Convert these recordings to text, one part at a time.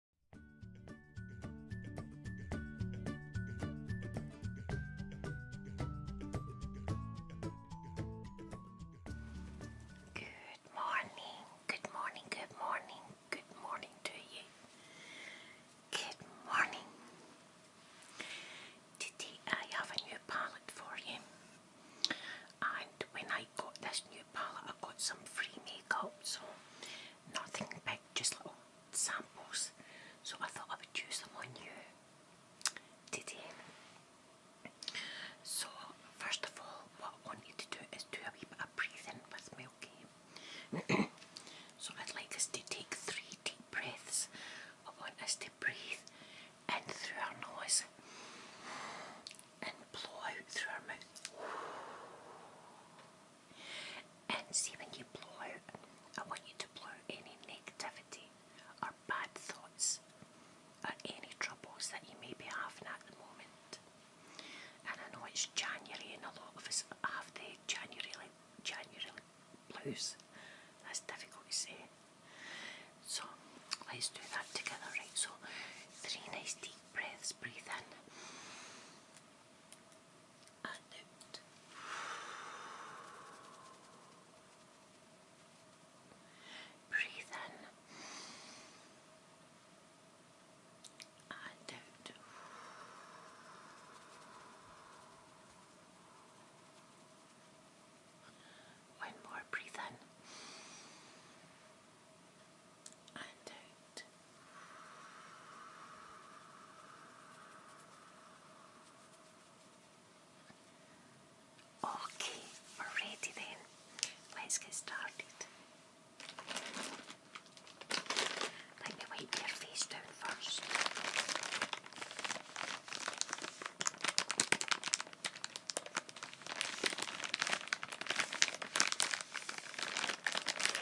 Good morning, good morning, good morning, good morning to you. Good morning. Today uh, I have a new palette for you. And when I got this new palette, I got some free makeup, so nothing big, just little samples. So I thought I would use them on you today. So first of all, what I want you to do is do a wee bit of breathing with me, so I'd like us to take three deep breaths. I want us to breathe in through our nose and blow out through our mouth. And see when you blow out, I want you to blow any negativity or bad thoughts or any troubles that you may be having at the moment. And I know it's January and a lot of us have the January like January blues. That's difficult to say. So let's do that together, right? So three nice deep breaths, breathe in Breathe in and out. One more, breathe in Okay, we're ready then. Let's get started. Let me wipe your face down first.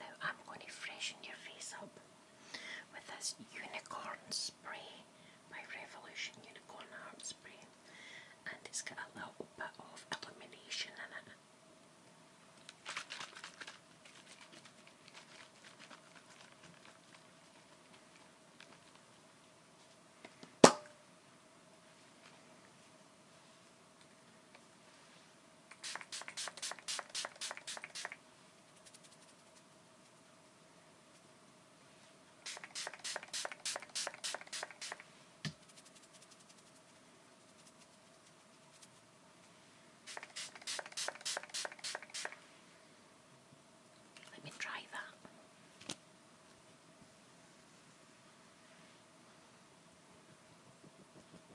Now I'm going to freshen your face up with this unicorn spray by Revolution Unicorn Heart Spray, and it's got a little bit of illumination in it. Let me try that.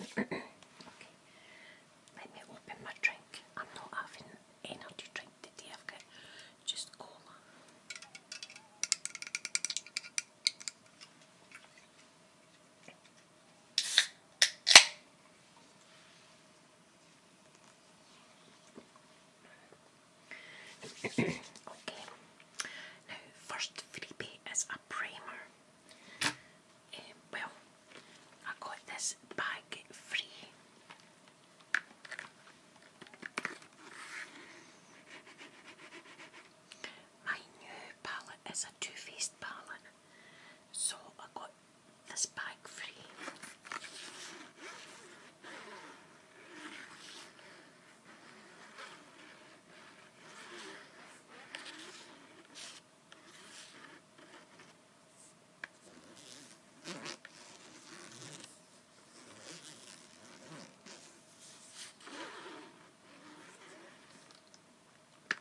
okay. Let me open my drink. I'm not having energy drink today, just cola okay, now first freebie is a primer. Eh, well, I got this bag free my new palette is a Too Faced palette, so I got this bag free.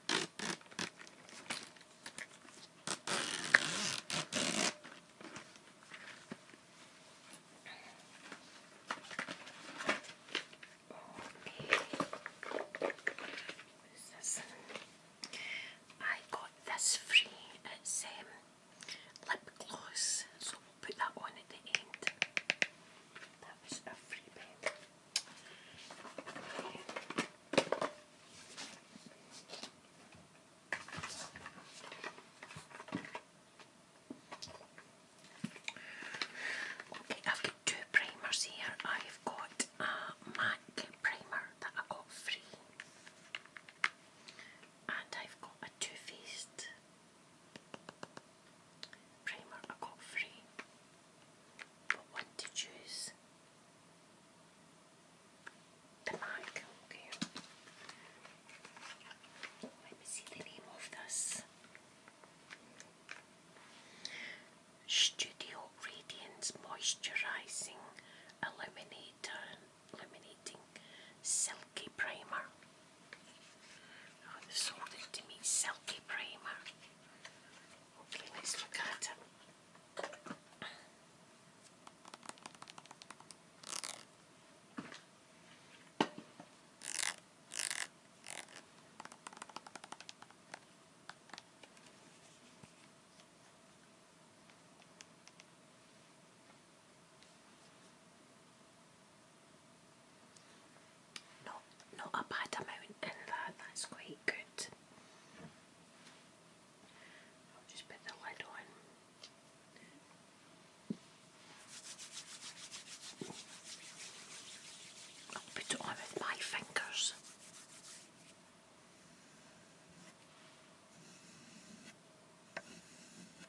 What is this? I got this free. It's uh, um, lip gloss put that on at the end. That was a free bed. Okay, I've got two primers here. I've got a MAC primer that I got free, and I've got a Too Faced primer I got free, but want to choose the MAC. Let me see the name of this. Studio Radiance Moisturizing Illuminator Illuminating Silky Primer. Oh, they sold it to me, Silky Primer. Okay, let's look at it. Not not a bad amount in that's quite good. I'll just put the lid on. I'll put it on with my fingers.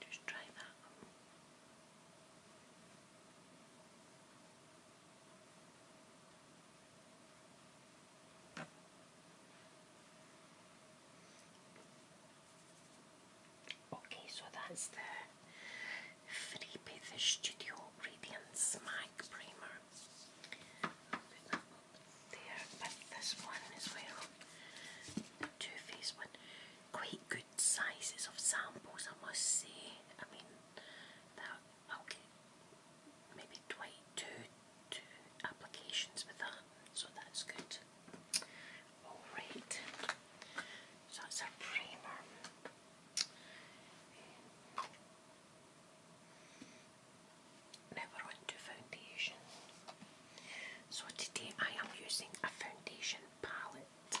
Just try that. Okay, so that's the Free Bathers Studio Radiant Smack Primer there, but this one as well. Too Faced Quite good sizes of samples, I must say. I mean, that i maybe twenty applications with that, so that's good. Alright, so that's our primer. Now we foundation. So today I am using a foundation palette.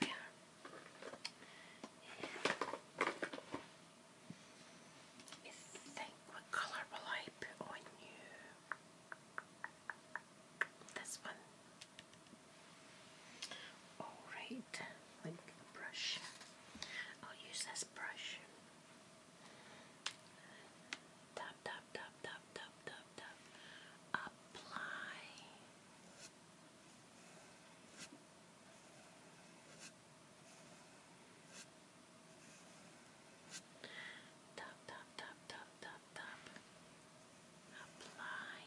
There I think what colour will I put on you? This one. Alright with a brush. I'll use this brush. Tap, tap, tap, tap, tap, tap, Apply. Tap, tap, tap, tap, tap, tap. Apply.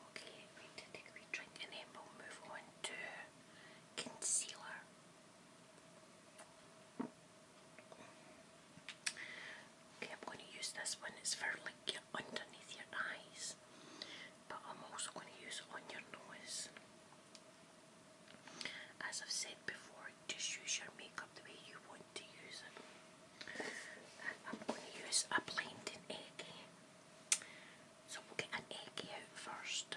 Okay, we did a green drink and then we'll move on to concealer. Okay, I'm going to use this one. It's for like underneath your eyes, but I'm also going to use on your nose. As I've said before, just use your makeup the way you want to use it. I'm going to use a blinding egg. So we'll get an egg out first.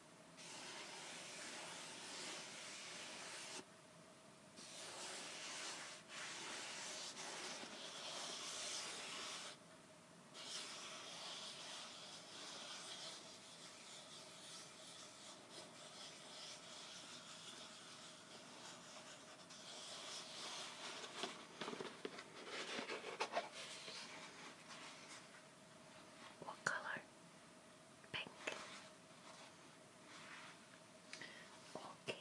What color Okay,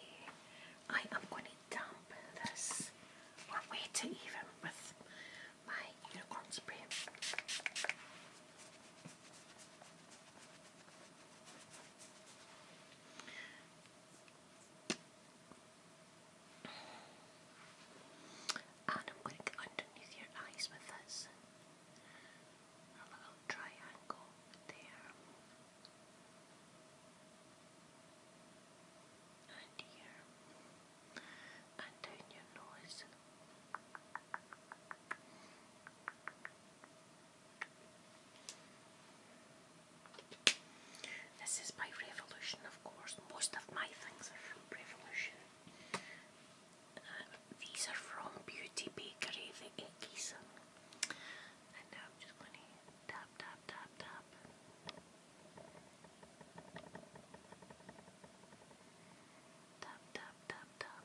I am going to dump this or wet it even with my unicorn spray. And I'm going to get underneath your eyes with this a little triangle there, and here, and down your nose. This is by Revolution, of course. Most of my things are from Revolution these are from Beauty Bakery, the eggies. And now I'm just going to tap, tap, tap. Tap, tap, tap, tap.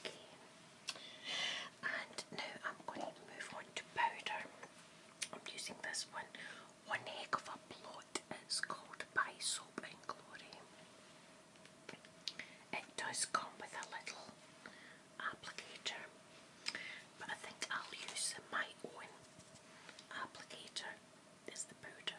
Okay. And now I'm going to move on to powder. I'm using this one, One Heck of a Plot. It's called By Soap and Glory. It does come with a little applicator, but I think I'll use my own applicator is the powder.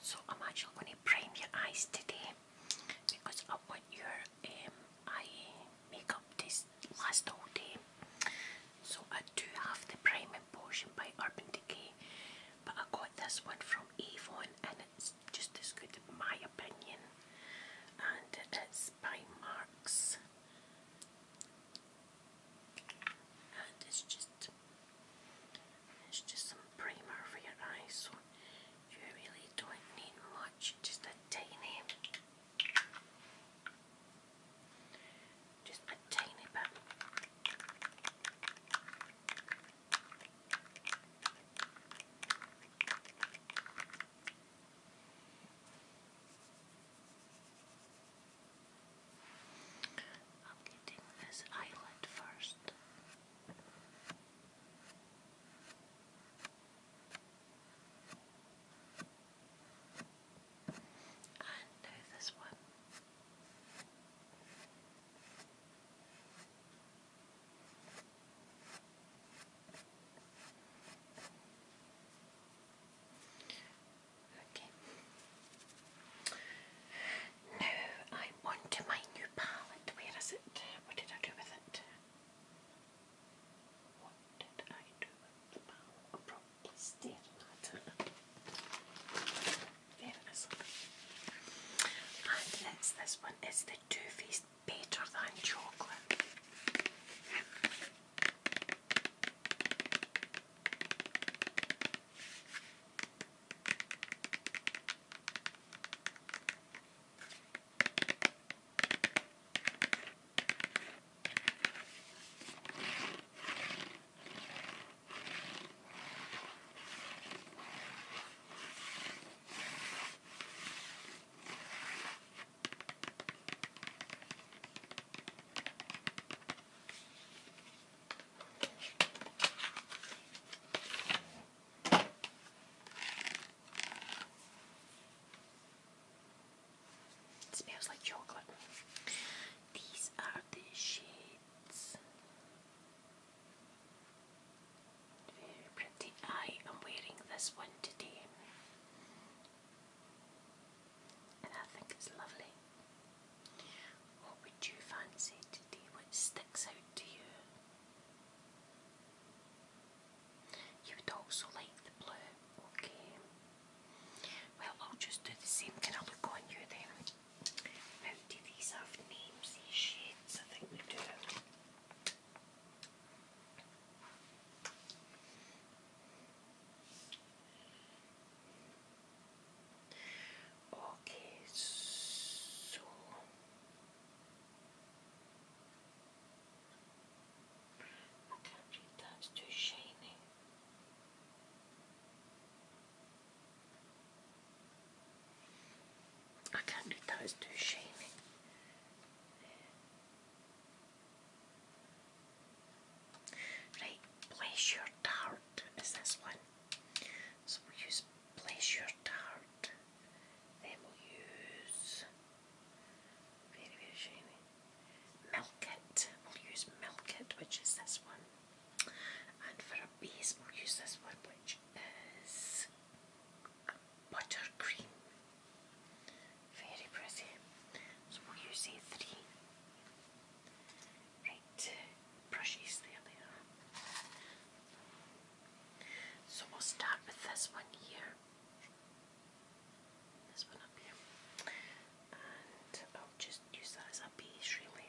So I'm actually going to prime your eyes today because I want your um, eye makeup to last all day. So I do have the priming potion by Urban Decay, but I got this one from Avon and it's just as good my opinion, and it's by Marks, and it's just it's just some primer for your eyes, you really don't need much, just a tiny, just a tiny bit. I'm getting this eyelid first. And now this one. Now I'm on my new palette. Where is it? What did I do with it? What did I do with the palette? I'm probably staring it. There it is. this one is the too Faced better than chocolate. It smells like chocolate. These are the shades. Very pretty. I am wearing this one today. And I think it's lovely. What would you fancy today? What sticks out to you? You would also like the blue, okay. Well, I'll just do the same. Can I look on you then? do these have names, these shades? I think they do. Okay, so I can't read that, too shiny. I can't do that, too shiny. Right, place your dart is this one. So we'll use place your dart. Then we'll use very very shiny. Milk it. We'll use milk it, which is this one. And for a base we'll use this one which is buttercream. Very pretty. So we'll use three right brushes, there they are. So we'll start with this one here. This one up here. And I'll just use that as a base really.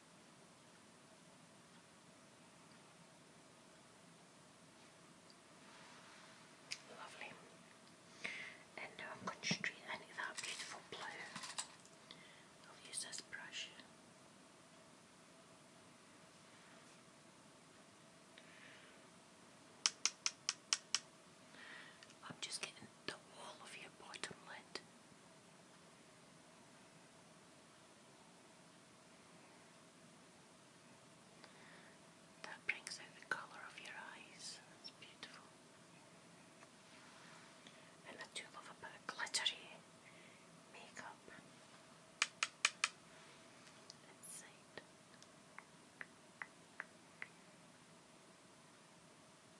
Lovely. And now I'm going to straight that beautiful blue. I'll use this brush. I'm just getting the wall of your bottom lid. That brings out the colour of your eyes. That's beautiful. And I do love a bit of glittery makeup inside. Right.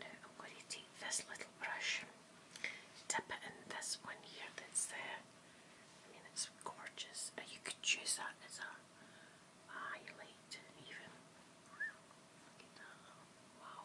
Now I'm going to take this little brush, dip it in this one here that's there. I mean, it's gorgeous. You could choose that as a highlight, even. Wow.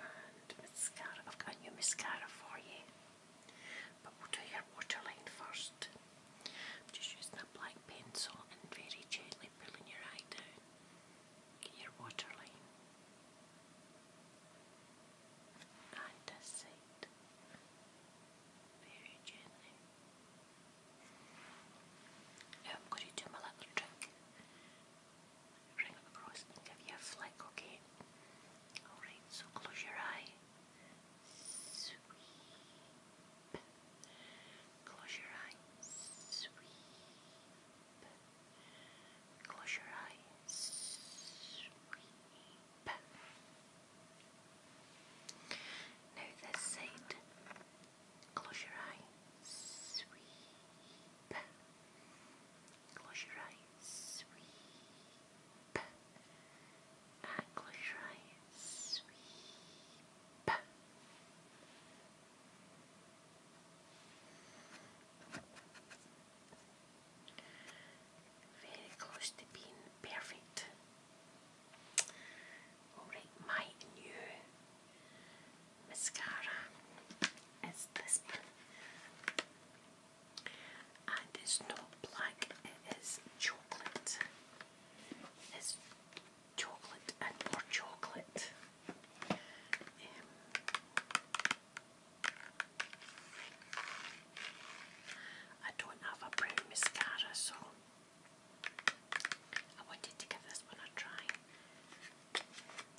and mascara. I've got a new mascara for you, but we'll do your waterline 1st just using a black pencil and very gently pulling your eye down. your waterline. And Very gently. I'm going to do my little trick bring across give you a flick, okay? Alright, so close your eye. Sweep. Close your eye. Sweep. Close your eye. Sweep. Now this side. Close your eye. Sweep. Close your eyes, sweep. And close your eyes, sweep. Very close to being perfect. Alright, my new mascara is this and it's not black, it is chocolate. It's chocolate and more chocolate. Um, I don't have a brown mascara, so I wanted to give this one a try.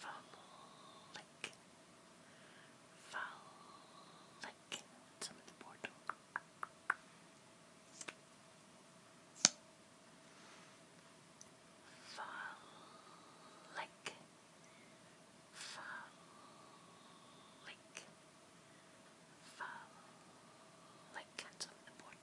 Frolic. Frolic. Some of the board. Frolic. Frolic. Frolic. Some of the board.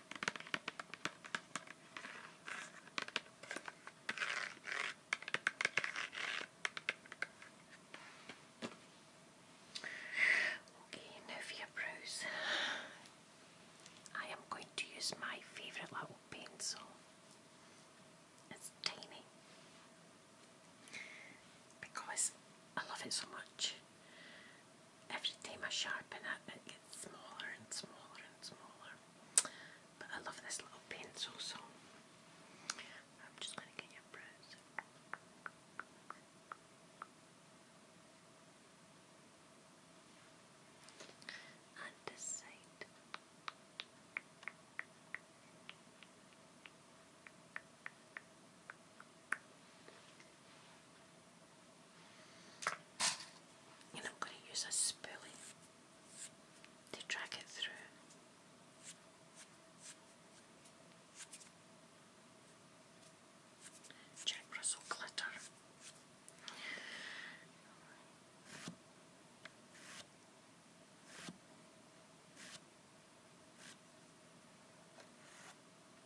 Okay, now for your brows. I am going to use my favourite little pencil. It's tiny because I love it so much every time I sharpen it, it gets smaller and smaller and smaller. But I love this little pencil, so I'm just going to get your brows. And this side. I'm going to use a spoolie to drag it through. Jack Russell glitter.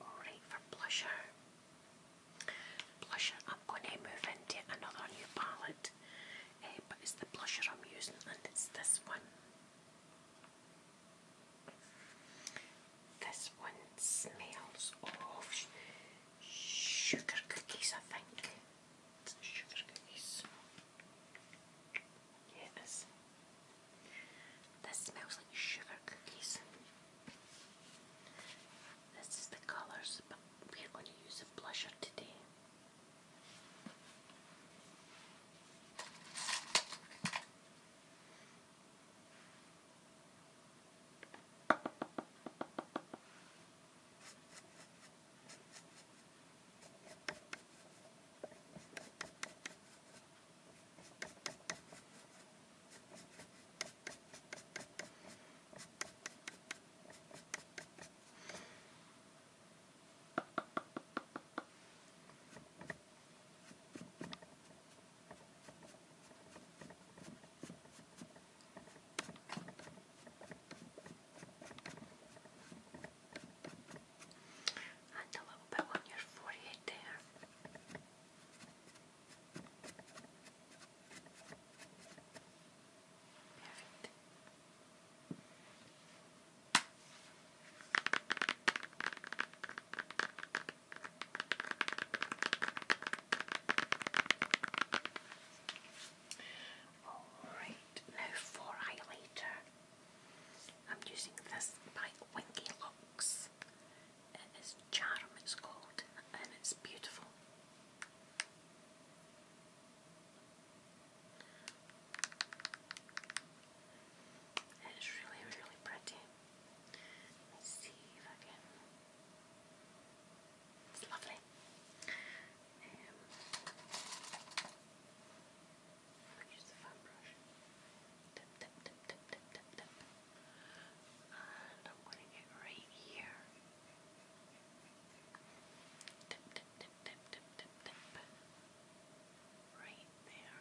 Alright, for blusher. Blusher, I'm going to move into another new palette, eh, but it's the blusher I'm using, and it's this one. This one smells of sugar cookies, I think. It's sugar cookies. Yeah, this smells like sugar cookies. This is the colours, but we're going to use a blusher today. And a little bit on your forehead there. Perfect. Alright, now for highlighter. I'm using this by Winky Looks it is Charm, it's called, and it's beautiful. it's really, really pretty. Let's see if I can. It's lovely. Um, Use the And I'm going to get right here. Right there.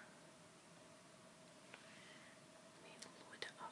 Let me load up.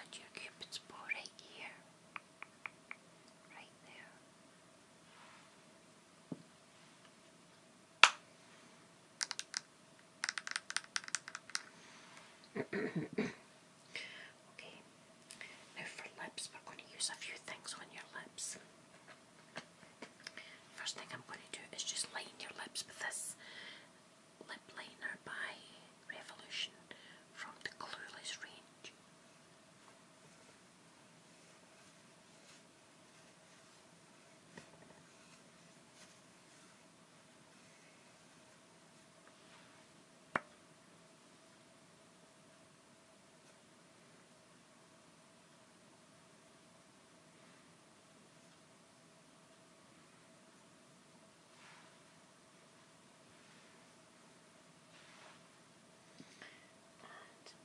And your cupid's bow right here, right there. okay, now for lips, we're going to use a few things on your lips. First thing I'm going to do is just line your lips with this lip liner by Revolution from the Clueless range.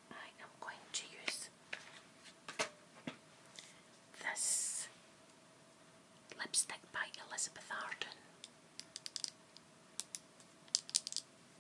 And I am going to use this lipstick by Elizabeth Arden.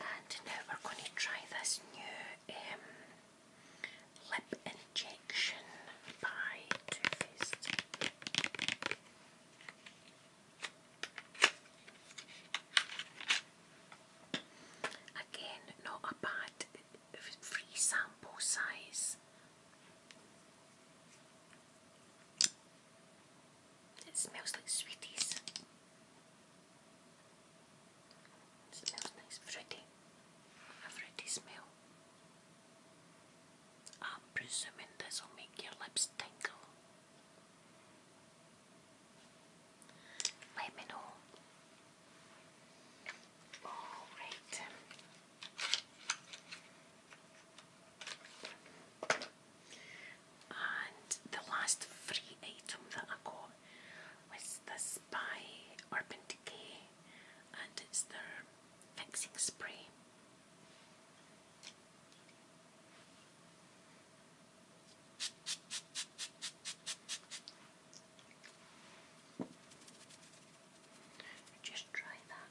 And now we're going to try this new um, lip injection by Too Faced. Again, not a bad free sample size. It smells like sweeties. smells nice, fruity. A fruity smell. I'm presuming this will make your lips tingle. Let me know. Alright. And the last free item that I got was this by Urban Decay and it's their fixing spray. Just try that.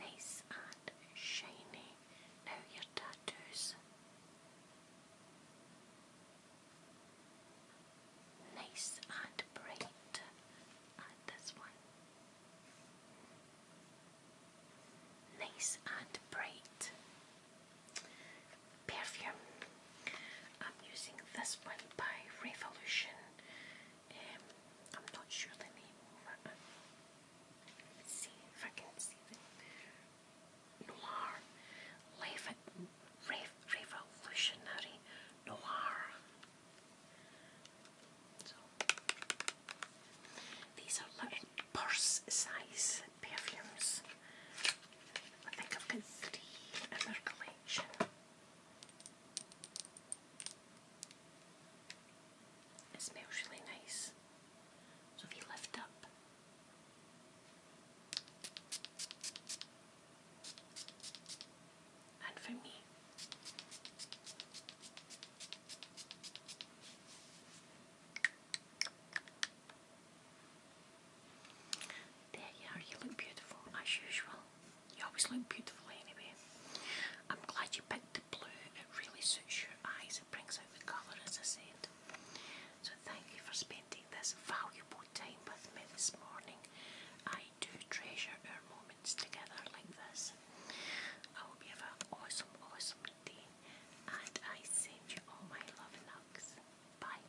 Nice and shiny. Now your tattoos. Nice and bright. And this one. Nice and bright. Perfume. I'm using this one by Revolution. Um, I'm not sure the name Let's see if I can see the noir, revolutionary noir. these are little purse size perfumes. I think I've got three in their collection. It smells really nice. So if you lift up, and for me, there you are, you look beautiful as usual. You always look beautiful anyway. I'm glad you picked the blue. It really suits your eyes. It brings out the colour as I said. So thank you for spending this valuable time with me this morning. I do treasure our moments together like this. I hope you have an awesome, awesome day. And I send you all my love and hugs. Bye.